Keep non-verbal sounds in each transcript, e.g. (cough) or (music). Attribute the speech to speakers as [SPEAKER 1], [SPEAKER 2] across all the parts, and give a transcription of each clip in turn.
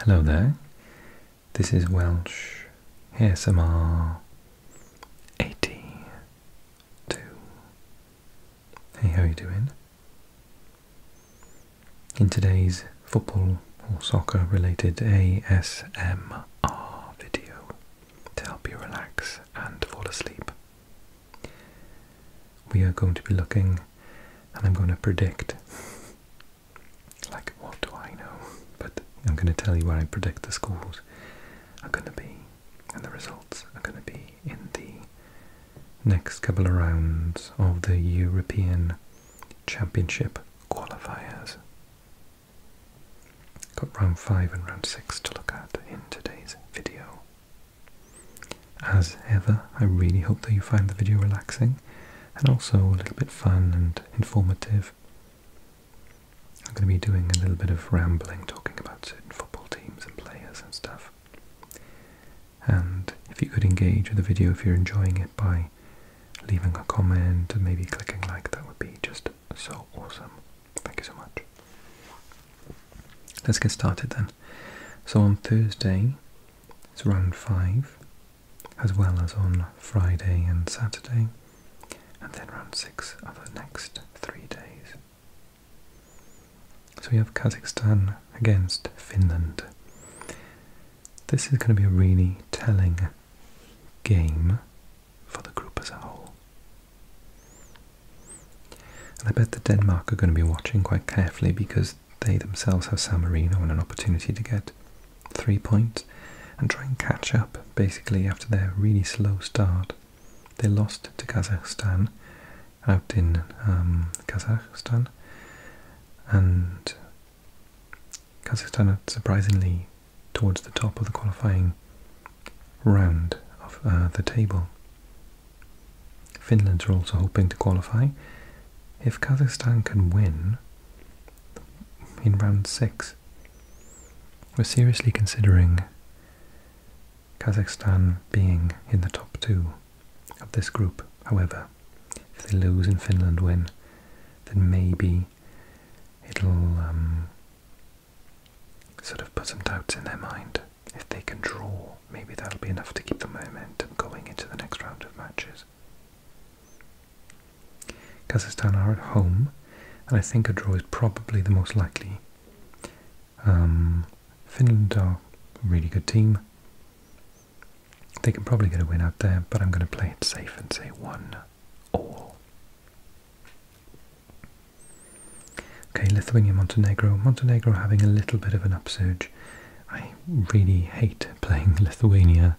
[SPEAKER 1] Hello there, this is Welsh ASMR 82. Hey, how are you doing? In today's football or soccer related ASMR video to help you relax and fall asleep, we are going to be looking and I'm going to predict. Like, what do I know? But I'm going to tell you where I predict the scores are going to be, and the results are going to be in the next couple of rounds of the European Championship qualifiers. Got round 5 and round 6 to look at in today's video. As ever, I really hope that you find the video relaxing and also a little bit fun and informative. I'm going to be doing a little bit of rambling, talking about football teams and players and stuff. And if you could engage with the video, if you're enjoying it, by leaving a comment and maybe clicking like, that would be just so awesome. Thank you so much. Let's get started then. So on Thursday, it's round five, as well as on Friday and Saturday, and then round six of the next three days. So we have Kazakhstan against Finland. This is going to be a really telling game for the group as a whole. And I bet that Denmark are going to be watching quite carefully because they themselves have San and an opportunity to get three points and try and catch up basically after their really slow start. They lost to Kazakhstan out in um, Kazakhstan, and Kazakhstan are surprisingly towards the top of the qualifying round of uh, the table. Finland are also hoping to qualify. If Kazakhstan can win in round six, we're seriously considering Kazakhstan being in the top two of this group. However, if they lose and Finland win, then maybe it'll um, sort of put some doubts in their mind. If they can draw, maybe that'll be enough to keep the momentum going into the next round of matches. Kazakhstan are at home, and I think a draw is probably the most likely. Um, Finland are a really good team. They can probably get a win out there, but I'm going to play it safe and say one all. Okay, Lithuania, Montenegro. Montenegro having a little bit of an upsurge. I really hate playing Lithuania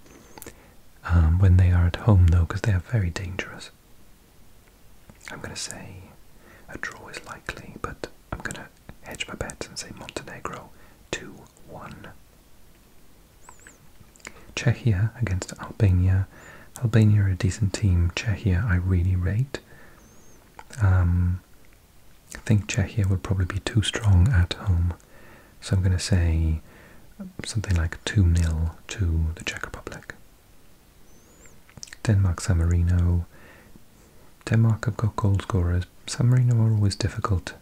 [SPEAKER 1] um, when they are at home though, because they are very dangerous. I'm going to say a draw is likely, but I'm going to hedge my bet and say Montenegro 2-1. Czechia against Albania. Albania are a decent team. Czechia I really rate. Um, I think Czechia will probably be too strong at home, so I'm going to say something like 2 0 to the Czech Republic. Denmark San Marino. Denmark have got goal scorers. San Marino are always difficult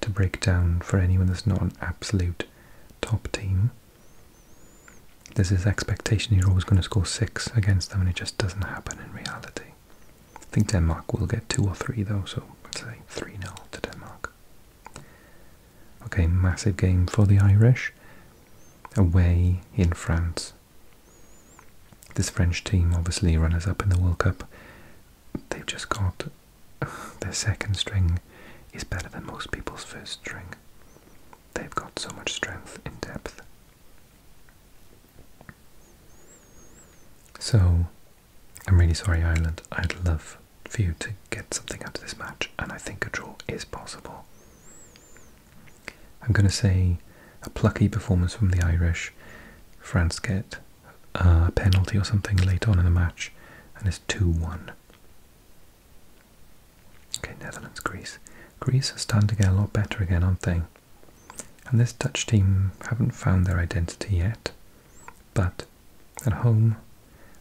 [SPEAKER 1] to break down for anyone that's not an absolute top team. There's this expectation you're always going to score six against them, and it just doesn't happen in reality. I think Denmark will get two or three though, so let's say 3 0 to Denmark. Okay, massive game for the Irish. Away in France. This French team, obviously runners up in the World Cup, they've just got (sighs) their second string is better than most people's first string. They've got so much strength in depth. So, I'm really sorry, Ireland. I'd love for you to get something out of this match, and I think a draw is possible. I'm going to say a plucky performance from the Irish. France get a penalty or something late on in the match, and it's 2 1. Okay, Netherlands, Greece. Greece has starting to get a lot better again, aren't they? And this Dutch team haven't found their identity yet, but at home,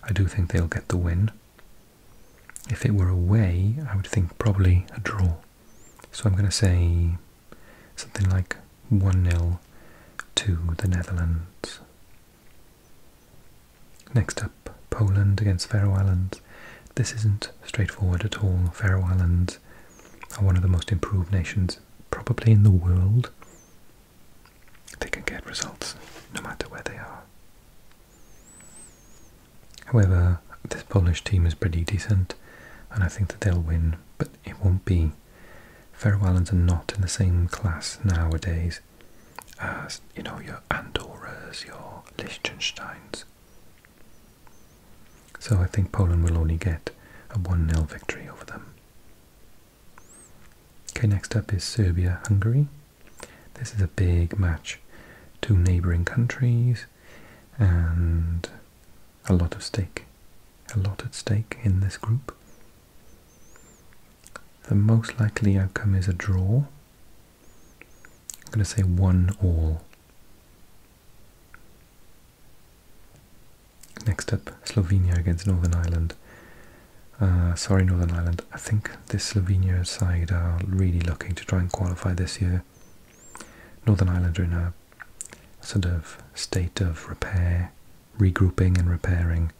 [SPEAKER 1] I do think they'll get the win. If it were away, I would think probably a draw. So I'm going to say something like 1 0 to the Netherlands. Next up, Poland against Faroe Islands. This isn't straightforward at all. Faroe Islands are one of the most improved nations, probably in the world. They can get results no matter where they are. However, this Polish team is pretty decent, and I think that they'll win, but it won't be. Faroe Islands are not in the same class nowadays as, you know, your Andorras, your Liechtensteins. So I think Poland will only get a 1 0 victory over them. Okay, next up is Serbia Hungary. This is a big match. Two neighbouring countries and a lot of stake. A lot at stake in this group. The most likely outcome is a draw. I'm going to say one all. Next up, Slovenia against Northern Ireland. Uh, sorry, Northern Ireland. I think this Slovenia side are really looking to try and qualify this year. Northern Ireland are in a sort of state of repair, regrouping and repairing.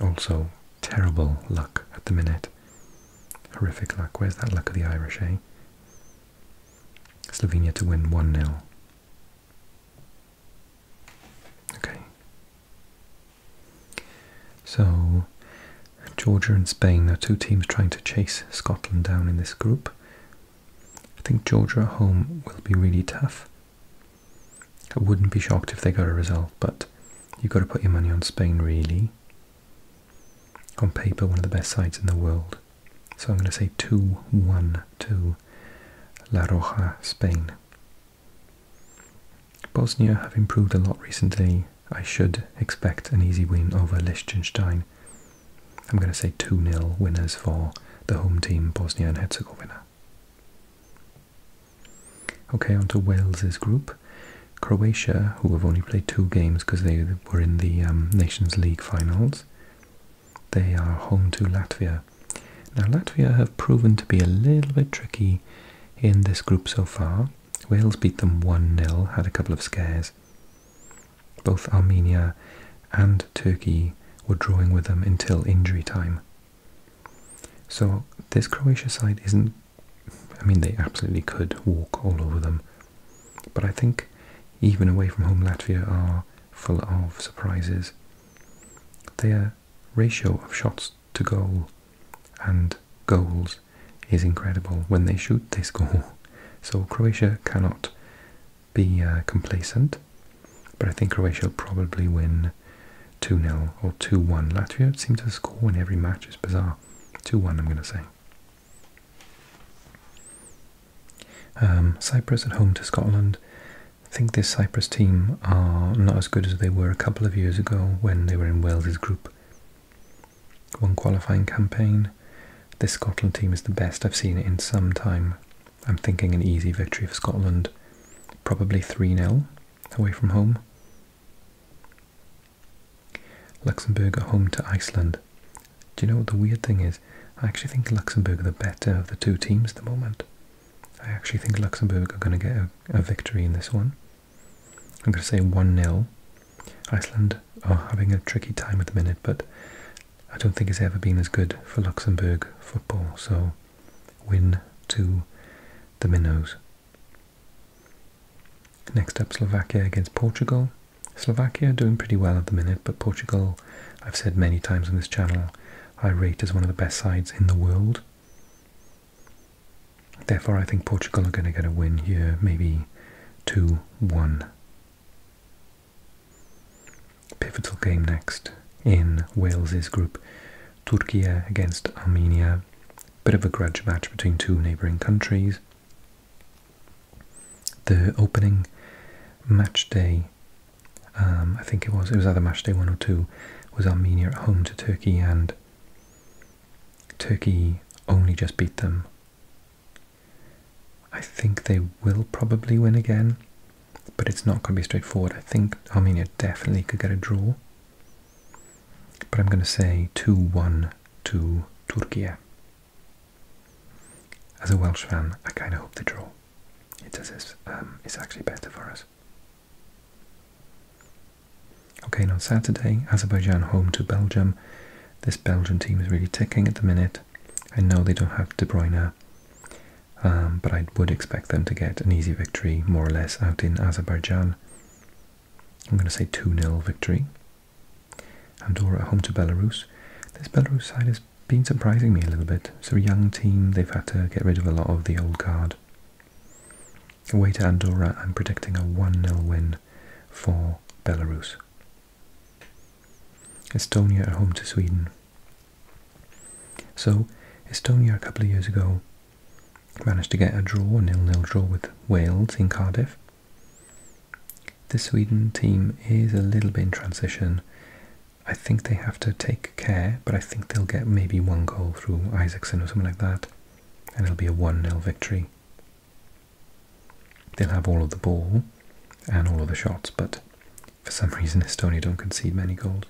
[SPEAKER 1] Also, terrible luck at the minute. Horrific luck. Where's that luck of the Irish, eh? Slovenia to win 1 0. Okay. So, Georgia and Spain are two teams trying to chase Scotland down in this group. I think Georgia at home will be really tough. I wouldn't be shocked if they got a result, but you've got to put your money on Spain, really on paper, one of the best sides in the world. So I'm going to say 2-1 to La Roja, Spain. Bosnia have improved a lot recently. I should expect an easy win over Liechtenstein. I'm going to say 2-0 winners for the home team, Bosnia and Herzegovina. Okay, on to Wales's group. Croatia, who have only played two games because they were in the um, Nations League finals, they are home to Latvia. Now, Latvia have proven to be a little bit tricky in this group so far. Wales beat them 1 0, had a couple of scares. Both Armenia and Turkey were drawing with them until injury time. So, this Croatia side isn't I mean, they absolutely could walk all over them. But I think even away from home, Latvia are full of surprises. Their ratio of shots to goal and goals is incredible. When they shoot, they (laughs) score. So Croatia cannot be uh, complacent. But I think Croatia will probably win 2 0 or 2 1. Latvia seem to score in every match, it's bizarre. 2 1, I'm going to say. Um, Cyprus at home to Scotland. I think this Cyprus team are not as good as they were a couple of years ago when they were in Wales's group. One qualifying campaign. This Scotland team is the best I've seen in some time. I'm thinking an easy victory of Scotland. Probably 3 0 away from home. Luxembourg are home to Iceland. Do you know what the weird thing is? I actually think Luxembourg are the better of the two teams at the moment. I actually think Luxembourg are going to get a, victory in this one. I'm going to say 1-0. Iceland are having a tricky time at the minute, but I don't think it's ever been as good for Luxembourg football. So, win to the Minnows. Next up, Slovakia against Portugal. Slovakia doing pretty well at the minute, but Portugal, I've said many times on this channel, I rate as one of the best sides in the world. Therefore, I think Portugal are going to get a win here, maybe 2-1. Pivotal game next in Wales's group. Turkey against Armenia. Bit of a grudge match between two neighbouring countries. The opening match day, um, I think it was, it was either match day one or two, was Armenia at home to Turkey, and Turkey only just beat them. I think they will probably win again, but it's not going to be straightforward. I think Armenia definitely could get a draw. But I'm going to say 2-1 to Turkey. As a Welsh fan, I kind of hope they draw. It does um, it's actually better for us. Okay, and on Saturday, Azerbaijan home to Belgium. This Belgian team is really ticking at the minute. I know they don't have De Bruyne, um, but I would expect them to get an easy victory, more or less, out in Azerbaijan. I'm going to say 2-0 victory. Andorra at home to Belarus. This Belarus side has been surprising me a little bit. It's a young team, they've had to get rid of a lot of the old guard. Away to Andorra, I'm predicting a 1-0 win for Belarus. Estonia at home to Sweden. So, Estonia a couple of years ago managed to get a draw, a nil-nil draw with Wales in Cardiff. The Sweden team is a little bit in transition. I think they have to take care, but I think they'll get maybe one goal through Isaacson or something like that, and it'll be a 1-0 victory. They'll have all of the ball and all of the shots, but for some (laughs) reason Estonia don't concede many goals.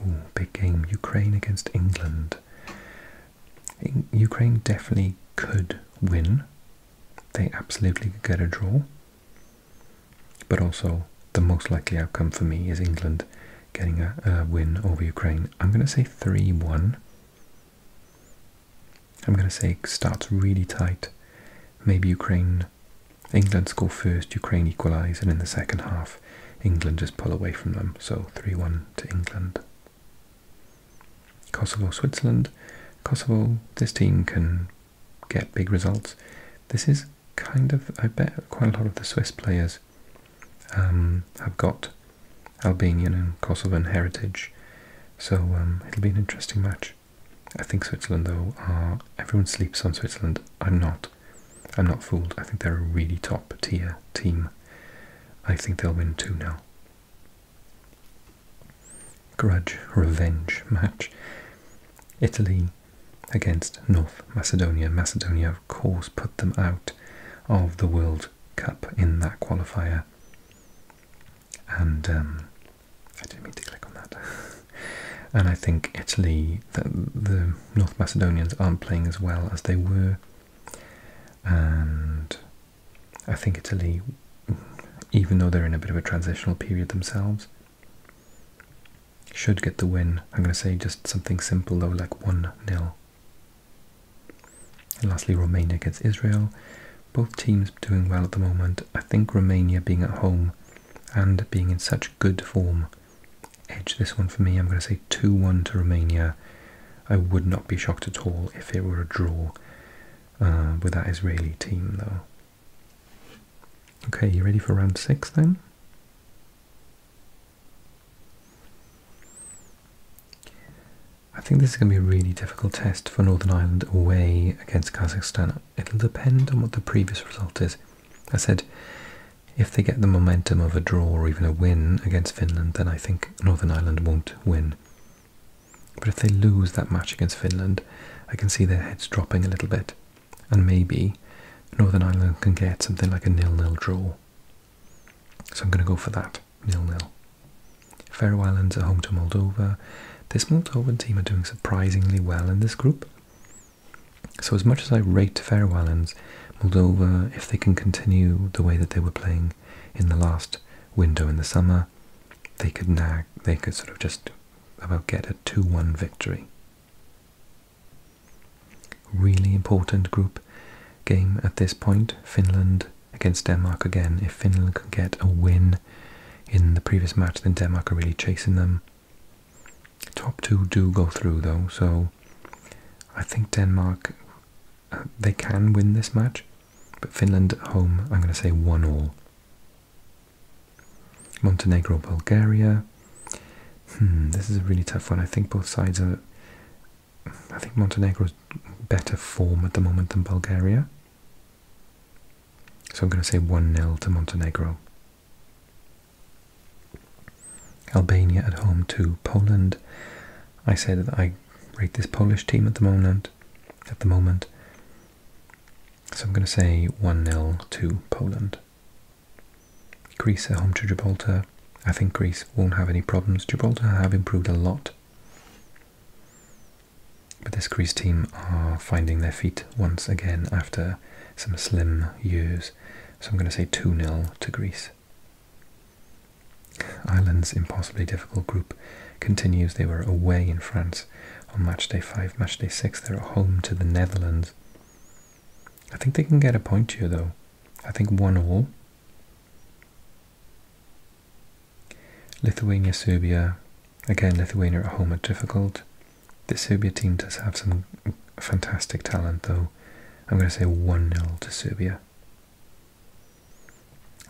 [SPEAKER 1] Oh, big game, Ukraine against England. Ukraine definitely could win. They absolutely could get a draw. But also, the most likely outcome for me is England getting a, win over Ukraine. I'm going to say 3 1. I'm going to say starts really tight. Maybe Ukraine, England score first, Ukraine equalise, and in the second half, England just pull away from them. So 3-1 to England. Kosovo, Switzerland. Kosovo, this team can get big results. This is kind of, I bet, quite a lot of the Swiss players um, have got Albanian and Kosovan heritage. So um, it'll be an interesting match. I think Switzerland, though, everyone sleeps on Switzerland. I'm not. I'm not fooled. I think they're a really top tier team. I think they'll win too now. Grudge revenge match. Italy against North Macedonia. Macedonia, of course, put them out of the World Cup in that qualifier. And um, I didn't mean to click on that. (laughs) and I think Italy, the, the North Macedonians aren't playing as well as they were and I think Italy, even though they're in a bit of a transitional period themselves, should get the win. I'm going to say just something simple though, like 1 0. And lastly, Romania against Israel. Both teams doing well at the moment. I think Romania being at home and being in such good form edge this one for me. I'm going to say 2 1 to Romania. I would not be shocked at all if it were a draw uh, with that Israeli team, though. Okay, you ready for round 6 then? I think this is going to be a really difficult test for Northern Ireland away against Kazakhstan. It'll depend on what the previous result is. I said if they get the momentum of a draw or even a win against Finland, then I think Northern Ireland won't win. But if they lose that match against Finland, I can see their heads dropping a little bit, and maybe Northern Ireland can get something like a nil-nil draw. So I'm going to go for that, nil-nil. Faroe Islands are home to Moldova. This Moldovan team are doing surprisingly well in this group. So as much as I rate Faroe Islands, Moldova, if they can continue the way that they were playing in the last window in the summer, they could nag, they could sort of just about get a 2-1 victory. Really important group game at this point, Finland against Denmark again. If Finland can get a win in the previous match, then Denmark are really chasing them. Top two do go through though, so I think Denmark uh, they can win this match, but Finland at home I'm going to say one all. Montenegro, Bulgaria. Hmm, this is a really tough one. I think both sides are. I think Montenegro's better form at the moment than Bulgaria. So I'm going to say 1 0 to Montenegro. Albania at home to Poland. I say that I rate this Polish team at the moment. At the moment, so I'm going to say one 0 to Poland. Greece at home to Gibraltar. I think Greece won't have any problems. Gibraltar have improved a lot, but this Greece team are finding their feet once again after some slim years. So I'm going to say 2 0 to Greece. Ireland's impossibly difficult group continues. They were away in France on match day 5, match day 6. They're at home to the Netherlands. I think they can get a point here, though. I think 1 all. Lithuania, Serbia. Again, Lithuania at home are difficult. The Serbia team does have some fantastic talent, though. I'm going to say 1 0 to Serbia.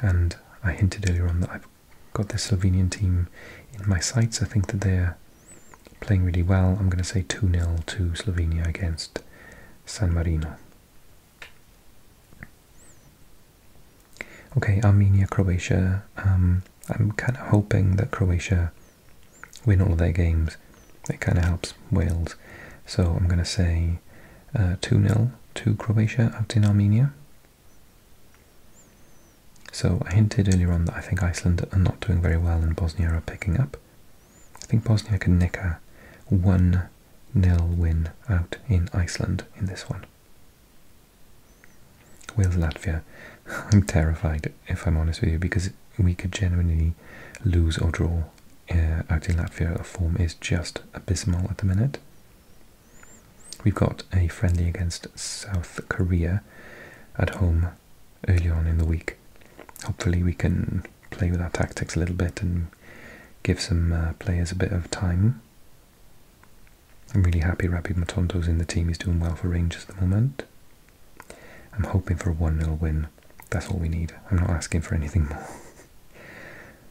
[SPEAKER 1] And I hinted earlier on that I've got the Slovenian team in my sights. I think that they're playing really well. I'm going to say 2 0 to Slovenia against San Marino. Okay, Armenia, Croatia. Um, I'm kind of hoping that Croatia win all of their games, it kind of helps Wales. So I'm going to say 2-0 uh, to Croatia out in Armenia. So I hinted earlier on that I think Iceland are not doing very well and Bosnia are picking up. I think Bosnia can nick a 1-0 win out in Iceland in this one. Wales Latvia. (laughs) I'm terrified if I'm honest with you, because we could genuinely lose or draw uh, out in Latvia. form is just abysmal at the minute. We've got a friendly against South Korea at home early on in the week. Hopefully, we can play with our tactics a little bit and give some uh, players a bit of time. I'm really happy Rabbi Matondo's in the team. He's doing well for Rangers at the moment. I'm hoping for a 1 0 win. That's all we need. I'm not asking for anything more.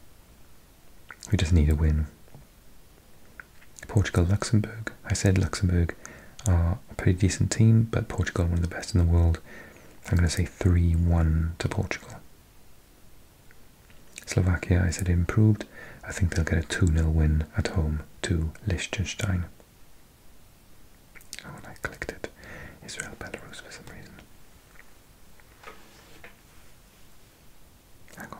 [SPEAKER 1] (laughs) we just need a win. Portugal Luxembourg. I said Luxembourg are a pretty decent team, but Portugal one of the best in the world. I'm going to say 3 1 to Portugal. Slovakia, I said improved. I think they'll get a 2 0 win at home to Liechtenstein when oh, I clicked it, Israel Belarus for some reason. Hang on.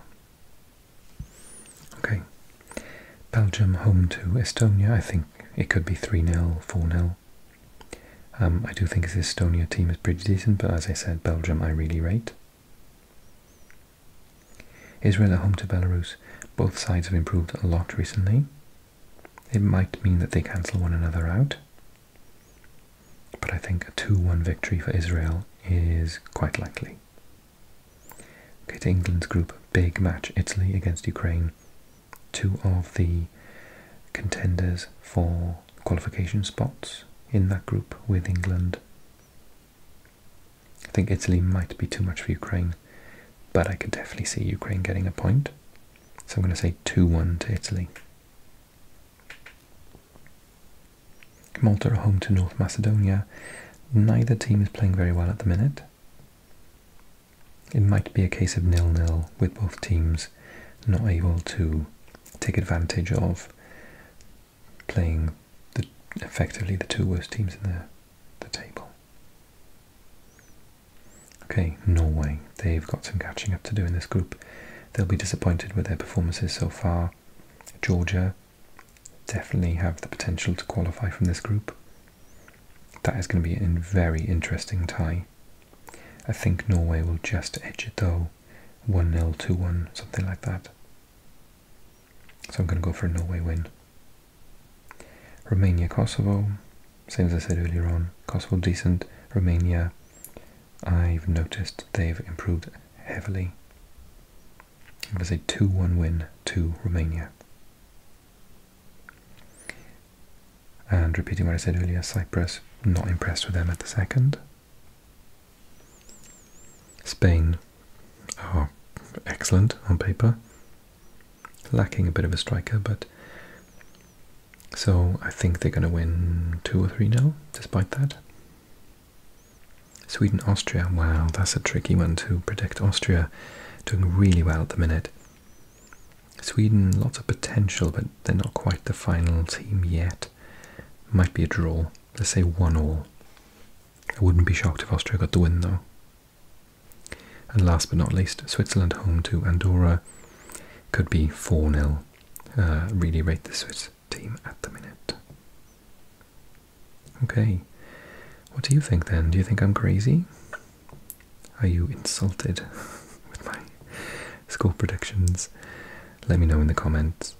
[SPEAKER 1] Okay. Belgium home to Estonia. I think it could be 3 0, 4 0. Um, I do think this Estonia team is pretty decent, but as I said, Belgium I really rate. Israel at home to Belarus. Both sides have improved a lot recently. It might mean that they cancel one another out. But I think a 2-1 victory for Israel is quite likely. Okay, to England's group, big match, Italy against Ukraine. Two of the contenders for qualification spots in that group with England. I think Italy might be too much for Ukraine, but I could definitely see Ukraine getting a point. So I'm going to say 2 1 to Italy. Malta are home to North Macedonia. Neither team is playing very well at the minute. It might be a case of nil nil with both teams not able to take advantage of playing effectively the two worst teams in the table. Okay, Norway. They've got some catching up to do in this group. They'll be disappointed with their performances so far. Georgia definitely have the potential to qualify from this group. That is going to be a very interesting tie. I think Norway will just edge it though. 1 0, 2 1, something like that. So I'm going to go for a Norway win. Romania, Kosovo, same as I said earlier on. Kosovo decent. Romania, I've noticed they've improved heavily. I'm going to say 2-1 win to Romania. And repeating what I said earlier, Cyprus, not impressed with them at the second. Spain, Oh, excellent on paper, lacking a bit of a striker, but so I think they're going to win 2 or 3 now, despite that. Sweden Austria, wow, that's a tricky one to predict. Austria doing really well at the minute. Sweden, lots of potential, but they're not quite the final team yet. Might be a draw. Let's say 1 all. I wouldn't be shocked if Austria got the win though. And last but not least, Switzerland home to Andorra could be 4 0. Uh, really rate the Swiss team at the minute. Okay, what do you think then? Do you think I'm crazy? Are you insulted (laughs) with my score predictions? Let me know in the comments.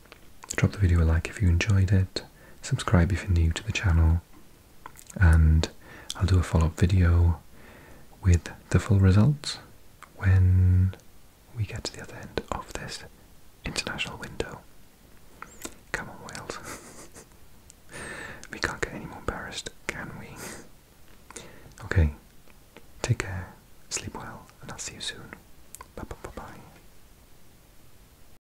[SPEAKER 1] Drop the video a like if you enjoyed it. Subscribe if you're new to the channel and I'll do a follow-up video with the full results when we get to the other end of this international window. Come on, Wales. (laughs) we can't get any more embarrassed, can we? Okay, take care, sleep well, and I'll see you soon. Bye bye bye. -bye.